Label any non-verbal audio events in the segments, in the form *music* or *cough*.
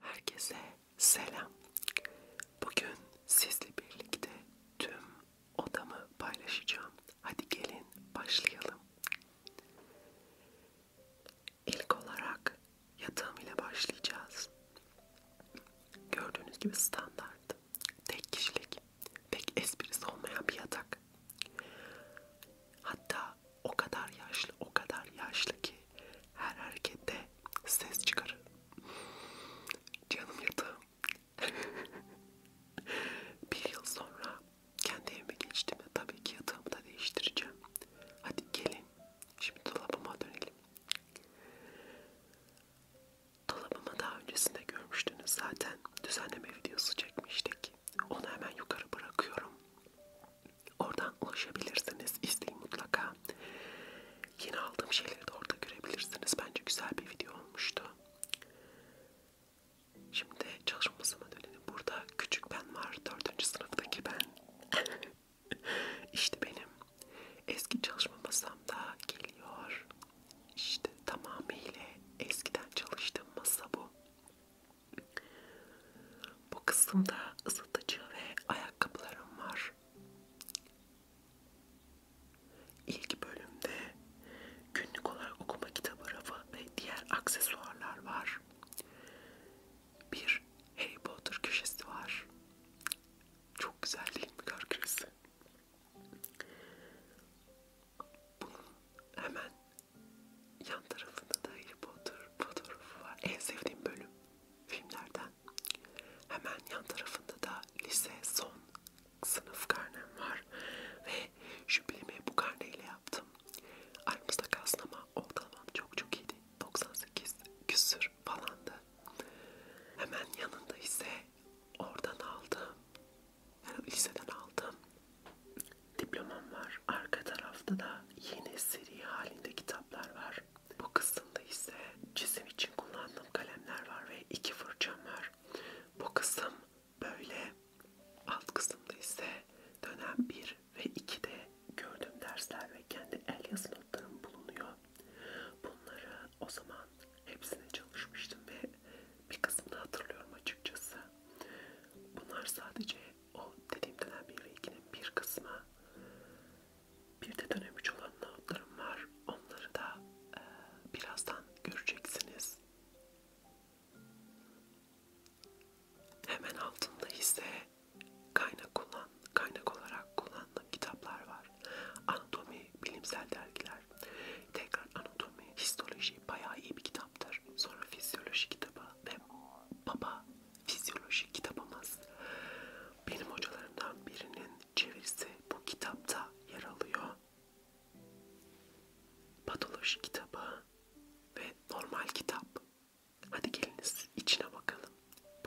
Herkese selam. Bugün sizle birlikte tüm odamı paylaşacağım. Hadi gelin başlayalım. İlk olarak yatağım ile başlayacağız. Gördüğünüz gibi standart tek kişilik, pek esprisi olmayan bir yatak. Hatta o kadar yaşlı, o kadar yaşlı ki her harekette ses çıkarır. Canım yatağım. *laughs* bir yıl sonra kendi evime geçtiğimde tabii ki yatağımı da değiştireceğim. Hadi gelin, şimdi dolabıma dönelim. Dolabımı daha öncesinde görmüştünüz zaten. Düzenleme videosu çekmiştik. Onu hemen yukarı bırakıyorum. Oradan ulaşabilirsiniz. İzleyin mutlaka. Yeni aldığım şeyleri de orada görebilirsiniz. Bence güzel bir video olmuştu. Şimdi çalışma masama dönelim. Burada küçük ben var. Dördüncü sınıftaki ben. *laughs* işte benim. Eski çalışma masamda geliyor. İşte tamamıyla eskiden çalıştığım masa bu. Bu kısımda ısıtıcı ve ayakkabılarım var. İlk bölümde günlük olarak okuma kitabı rafı ve diğer aksesuarlar var. Bir Harry Potter köşesi var. Çok güzel değil mi görgünüzü? Bunun hemen yan tarafında da Harry Potter fotoğrafı var. En sevdiğim bölüm filmlerden. Hemen yan tarafında da lise son sınıf karnem var. Ve jübilemi bu karneyle yaptım. Aramızda kalsın ama ortalamam çok çok iyiydi. 98 küsür falandı. Hemen yanında ise oradan aldım. Yani liseden aldım. Diplomam var. Arka tarafta da yeni seri halinde kitaplar var. Bu kısımda ise çizim için kullandığım kalemler var ve iki fırçam var. Bu kısım böyle. Alt kısımda ise dönem 1 ve 2'de gördüğüm dersler ve kendi el yazılı kanıtlarım bulunuyor. Bunları o zaman hepsine çalışmıştım ve bir kısmını hatırlıyorum açıkçası. Bunlar sadece o dediğim dönem 1 ve 2'nin bir kısmı. Bir de dönem 3 olan notlarım var. Onları da e, birazdan göreceksiniz. Hemen altında ise kaynak kullan, kaynak olarak kullandığım kitaplar var kitaplar, anatomi, bilimsel dergiler. Tekrar anatomi, histoloji bayağı iyi bir kitaptır. Sonra fizyoloji kitabı ve baba fizyoloji kitabımız. Benim hocalarımdan birinin çevirisi bu kitapta yer alıyor. Patoloji kitabı ve normal kitap. Hadi geliniz içine bakalım.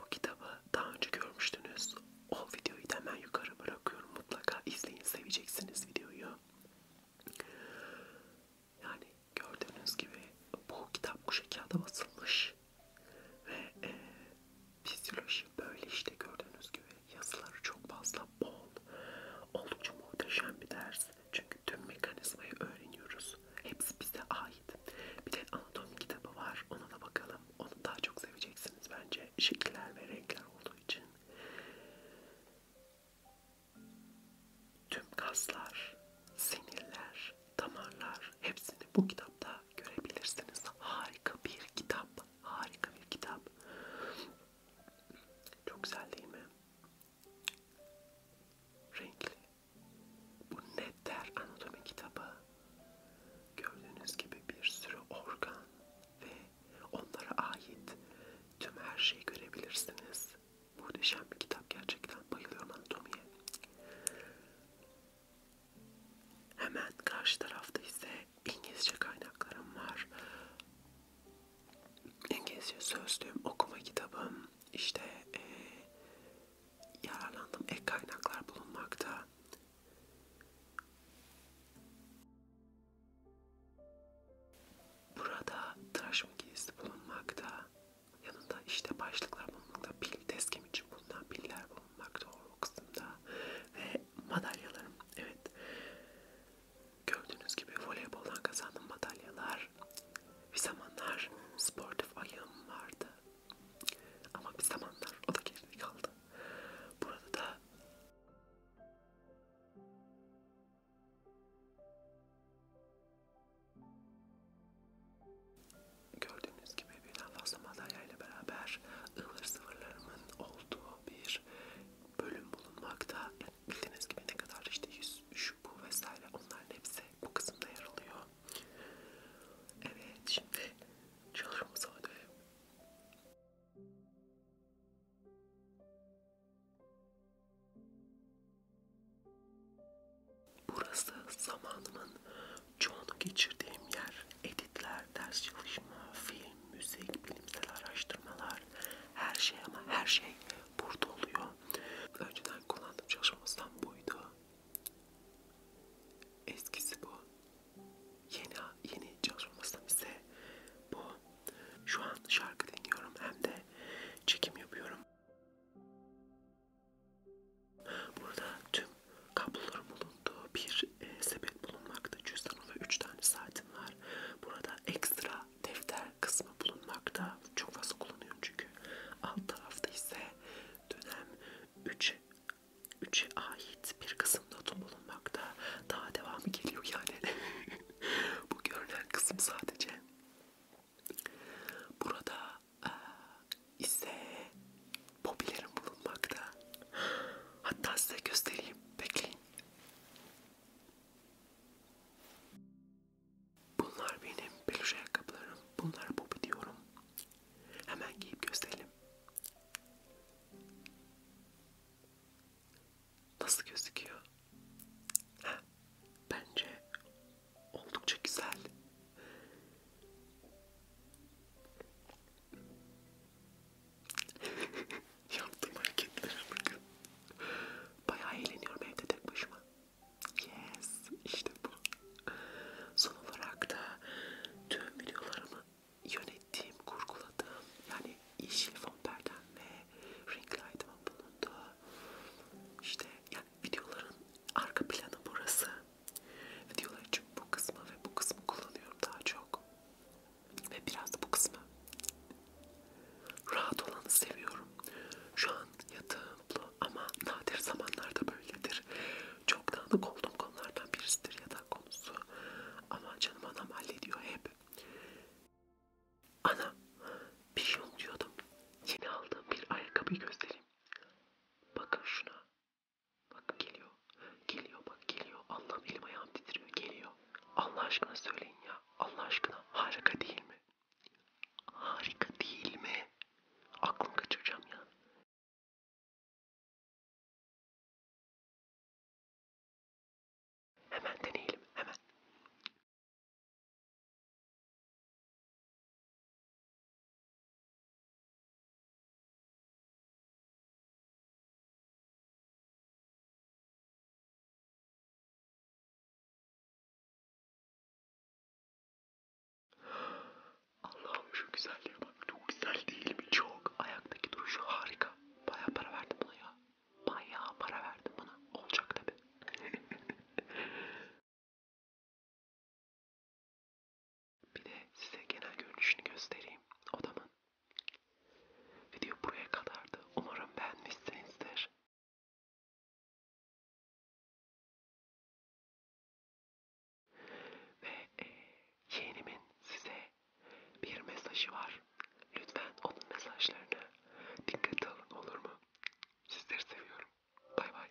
Bu kitabı daha önce görmüştünüz. O videoyu da hemen yukarı bırakıyorum. Mutlaka izleyin. Seveceksiniz videoyu. Yani gördüğünüz gibi bu kitap kuşa kağıda basılmış. Ve e, fizyoloji böyle işte gördüğünüz gibi yazıları çok fazla bol. Oldukça muhteşem bir ders. Çünkü tüm mekanizmayı öğreniyoruz. Hepsi bize ait. Bir de anatomi kitabı var. Ona da bakalım. Onu daha çok seveceksiniz bence. Şekiller ve renkler olduğu için. Tüm kaslar, sinirler, damarlar hepsini bu kitapta görebilirsiniz. Harika bir kitap. Harika bir kitap. Çok güzel değil mi? Renkli. Bu Netter Anatomi kitabı. Gördüğünüz gibi bir sürü organ ve onlara ait tüm her şeyi görebilirsiniz. Muhteşem bir kitap gerçekten. Bayılıyorum anatomiye. Hemen karşı tarafta ise İngilizce kaynaklarım var. İngilizce sözlüğüm, okuma kitabım, işte e, yararlandığım ek kaynaklar bulunmakta. Burada tıraş makinesi bulunmakta, yanında işte başlıklar bulunmakta, pil deskem için bulunan piller bulunmakta o kısımda ve madalyalarım, evet gördüğünüz gibi voleyboldan kazandığım madalyalar, bir zamanlar sportif ayağım vardı ama bir zamanlar o da geride kaldı. Burada da Gördüğünüz gibi birden fazla madalya ile beraber ıvır sıvırlarımın olduğu bir bölüm bulunmakta. Bildiğiniz gibi ne kadar işte yüz, şu bu vesaire onların hepsi bu kısımda yer alıyor. Evet şimdi çalışmamıza dönelim. Burası zamanımın çoğunu geçirdiğim yer. Editler, ders çalışma, film, müzik, bilimsel araştırmalar, her şey ama her şey burada oluyor. Önceden kullandığım çalışma masam buydu. Eskisi bu. Yeni yeni çalışmasından ise bu. Şu an şarkı dinliyorum hem de çekim yapıyorum. Burada tüm kabloların bulunduğu bir e, sepet bulunmakta. Cüzdanım ve 3 tane saatim var. Burada ekstra defter kısmı bulunmakta. Çok fazla kullanıyorum çünkü. Alt tarafta ise dönem 3 3'e ait bir kısımda bulunmakta. Daha devamı geliyor yani. *laughs* Bu görünen kısım sadece. Burada e, ise popülerin bulunmakta. Hatta size göstereyim. Bekleyin. Bunlar benim peluş ayakkabılarım. Bunlara popi diyorum. Hemen giyip gösterelim. Nasıl gözüküyor? Heh, bence oldukça güzel. *laughs* Yaptığım hareketlere bakın. Bayağı eğleniyorum evde tek başıma. Yes, işte bu. Son olarak da tüm videolarımı yönettiğim, kurguladığım yani yeşil fon perdem ve ring light'ımın bulunduğu işte yani videoların arka planı burası. Videoların çünkü bu kısmı ve bu kısmı kullanıyorum daha çok. Ve biraz da bu kısmı. Rahat olanı seviyorum. Şu an yatağım ama nadir zamanlarda böyledir. Çok dağınık olduğum konulardan birisidir yatak konusu. Ama canım anam hallediyor hep. Ana bir şey unutuyordum. Yeni aldığım bir ayakkabıyı göstereyim. Bakın şuna. Bak geliyor. Geliyor bak geliyor. Allah'ım elim ayağım titriyor. Geliyor. Allah aşkına söyleyin ya. Allah aşkına harika değil mi? Harika değil mi? Aklım kaçıracağım ya. Hemen deneyelim, hemen. Allah'ım şu güzelliğe bak. Çok güzel değil mi? Çok. Ayaktaki duruşu harika. Baya para verdim buna ya. Baya para verdim buna. Olacak tabi. *laughs* Bir de size genel görünüşünü göstereyim odamın. Video buraya kadardı. Umarım beğenmişsinizdir. Ve e, yeğenimin size bir mesajı var. Lütfen onun mesajlarına dikkate alın olur mu? Sizleri seviyorum. Bay bay.